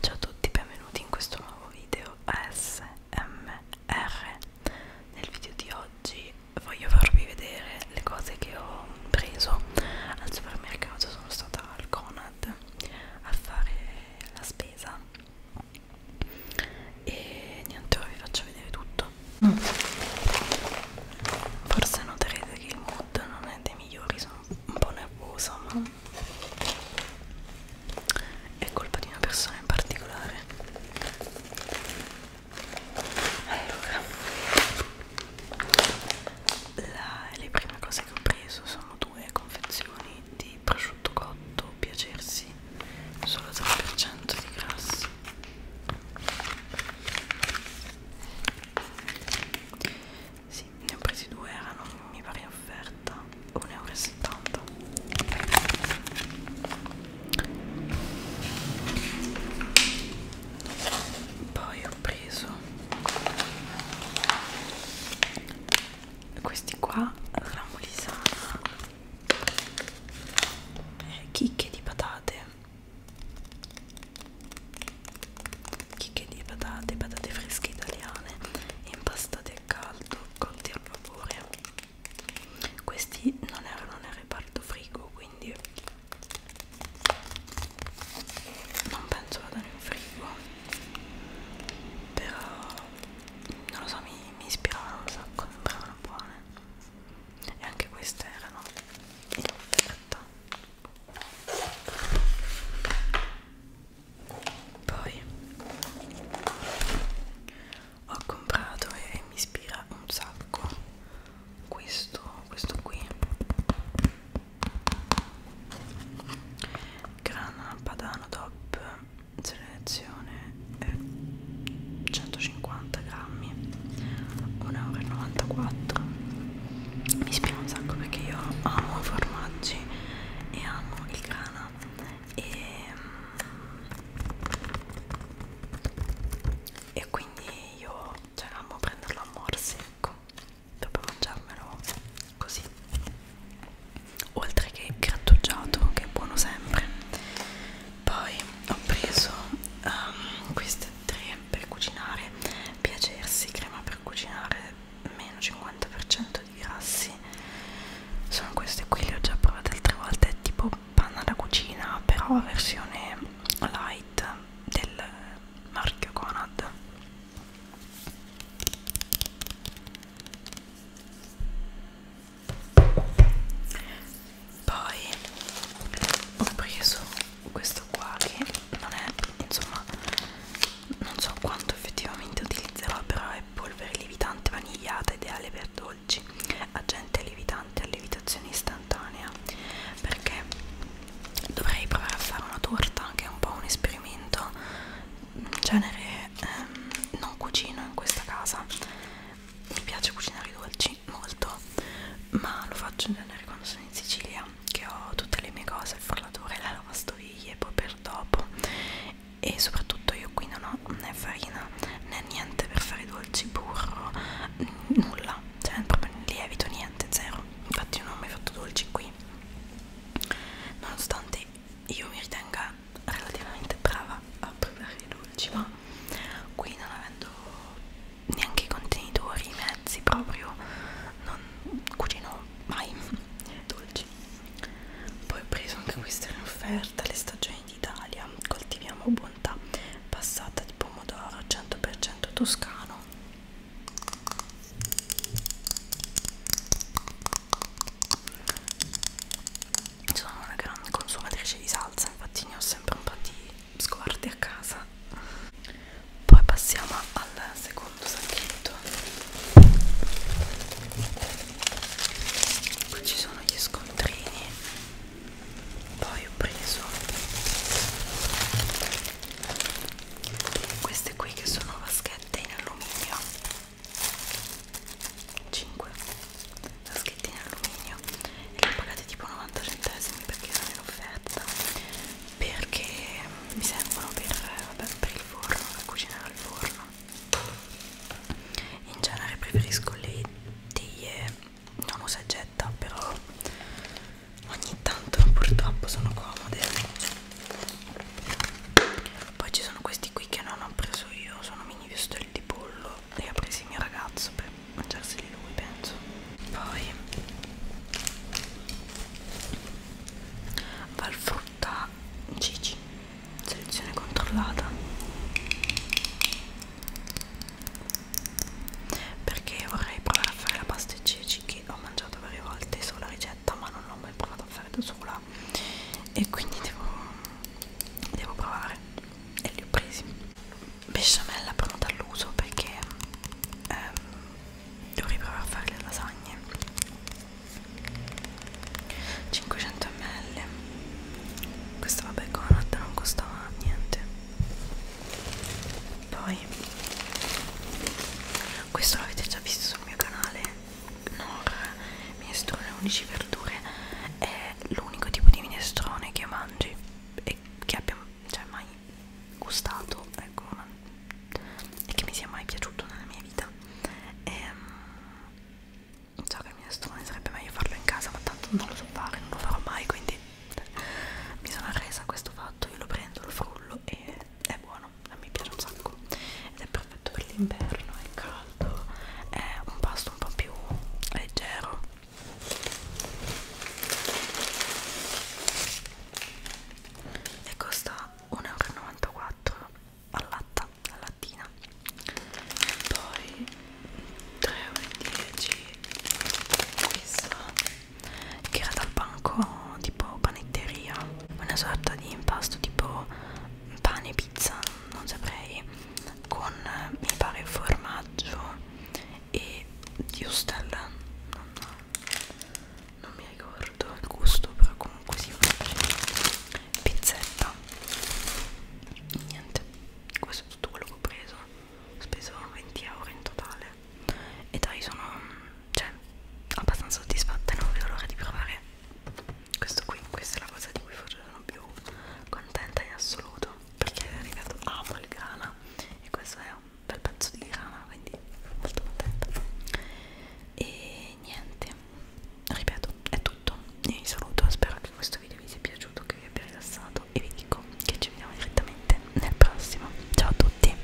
Ciao a tutti, benvenuti in questo nuovo video ASMR. Nel video di oggi voglio farvi vedere le cose che ho preso al supermercato. Sono stata al Conad a fare la spesa e niente, ora vi faccio vedere tutto. Mm. Forse noterete che il muro Esatto, non è dei migliori, sono un po' nervosa, ma è colpa di una persona in particolare. Allora, la, le prime cose che ho preso sono due confezioni di prosciutto cotto piacersi, solo 3% di grasso sì, ne ho presi due, erano mi pare in offerta 1,70 euro. Poi ho preso questi qua, ramolisana, eh, chicche di patate chicche di patate, patate fresche italiane impastate a caldo, cotti al vapore questi non erano nel reparto frigo quindi non penso vadano in frigo però non lo so mi, mi ispiravano un sacco sembravano buone e anche queste erano in offerta poi ho comprato e mi ispira un sacco questo, questo qui grana padano top selezione eh, 150 grammi 1,94 euro mi spiego un sacco perché io amo i formaggi e amo il grana e, e quindi io cioè, amo prenderlo a morsi ecco proprio mangiarmelo così oltre che grattugiato che è buono sempre poi ho preso um, queste tre per cucinare piacersi crema per cucinare meno 50% di grassi sono queste qui le ho già provate altre volte è tipo panna da cucina però versione light del marchio Conad poi ho preso questo qua che non è insomma non so quanto effettivamente utilizzerò però è polvere lievitante vanigliata ideale per dolci agente lievitante a lievitazione istantanea perché dovrei provare a fare una torta che è un po' un esperimento in genere ehm, non cucino in questa casa mi piace cucinare i dolci sì, molto, ma lo faccio in genere quando sono in Sicilia, che ho tutte le mie cose, il frullatore, la lavastoviglie, poi per dopo e soprattutto io qui non ho né farina né niente per fare dolci, burro, nulla, cioè proprio lievito, niente, zero, infatti non ho mai fatto dolci qui nonostante io mi ritenga relativamente brava a preparare i dolci ma qui non avendo neanche i contenitori, i mezzi proprio non cucino mai dolci poi ho preso anche questa in offerta le stagioni d'Italia coltiviamo bontà passata di pomodoro 100% toscano sono una grande consumatrice di salsa infatti ne ho sempre un po' di sguardi a casa poi passiamo al secondo sacchetto qui ci sono gli scontrini poi ho preso queste qui che sono vaschette in alluminio 5 la schettina alluminio e le ho pagate tipo 90 centesimi perché erano in offerta perché mi servono per, vabbè, per il forno per cucinare al forno in genere preferisco le teglie non usa e getta però ogni tanto purtroppo sono comode poi ci sono questi qui che non ho preso io sono mini vestoli di pollo li ha presi il mio ragazzo per mangiarseli lui penso poi valfrutta Gigi selezione controllata perché vorrei provare a fare la pasta e ceci che ho mangiato varie volte sulla ricetta ma non l'ho mai provato a fare da sola e quindi devo, devo provare e li ho presi besciamella pronta all'uso perché ehm, dovrei provare a fare le lasagne 500 ml questo vabbè con la latta non costava niente poi questo l'avete già visto sul mio canale Nor minestrone 11 verdure è l'unico tipo di minestrone che mangi e che abbia cioè, mai gustato ecco, ma, e che mi sia mai piaciuto nella mia vita ehm, so che il minestrone sarebbe meglio farlo in casa ma tanto non lo so fare non lo farò mai quindi mi sono resa a questo fatto io lo prendo lo frullo e è buono a me piace un sacco ed è perfetto per l'inverno, è caldo, è un pasto un po' più leggero. E costa 1,94 euro al latta, alla lattina. Poi 3,10 euro questa che era dal banco tipo panetteria, una sorta di impasto tipo pane, pizza, non saprei, con mi pare formaggio e di Ustel, non, non mi ricordo il gusto, però comunque si mangia. Pizzetta, niente, questo è tutto quello che ho preso, ho speso 20 euro in totale e dai sono, cioè, abbastanza soddisfatta, non vedo l'ora di provare questo qui, questa è la cosa di cui forse sono più contenta in assoluto perché è arrivato amo il grana e questo è un bel pezzo di grana quindi sono molto contenta e niente ripeto è tutto vi saluto spero che questo video vi sia piaciuto che vi abbia rilassato e vi dico che ci vediamo direttamente nel prossimo ciao a tutti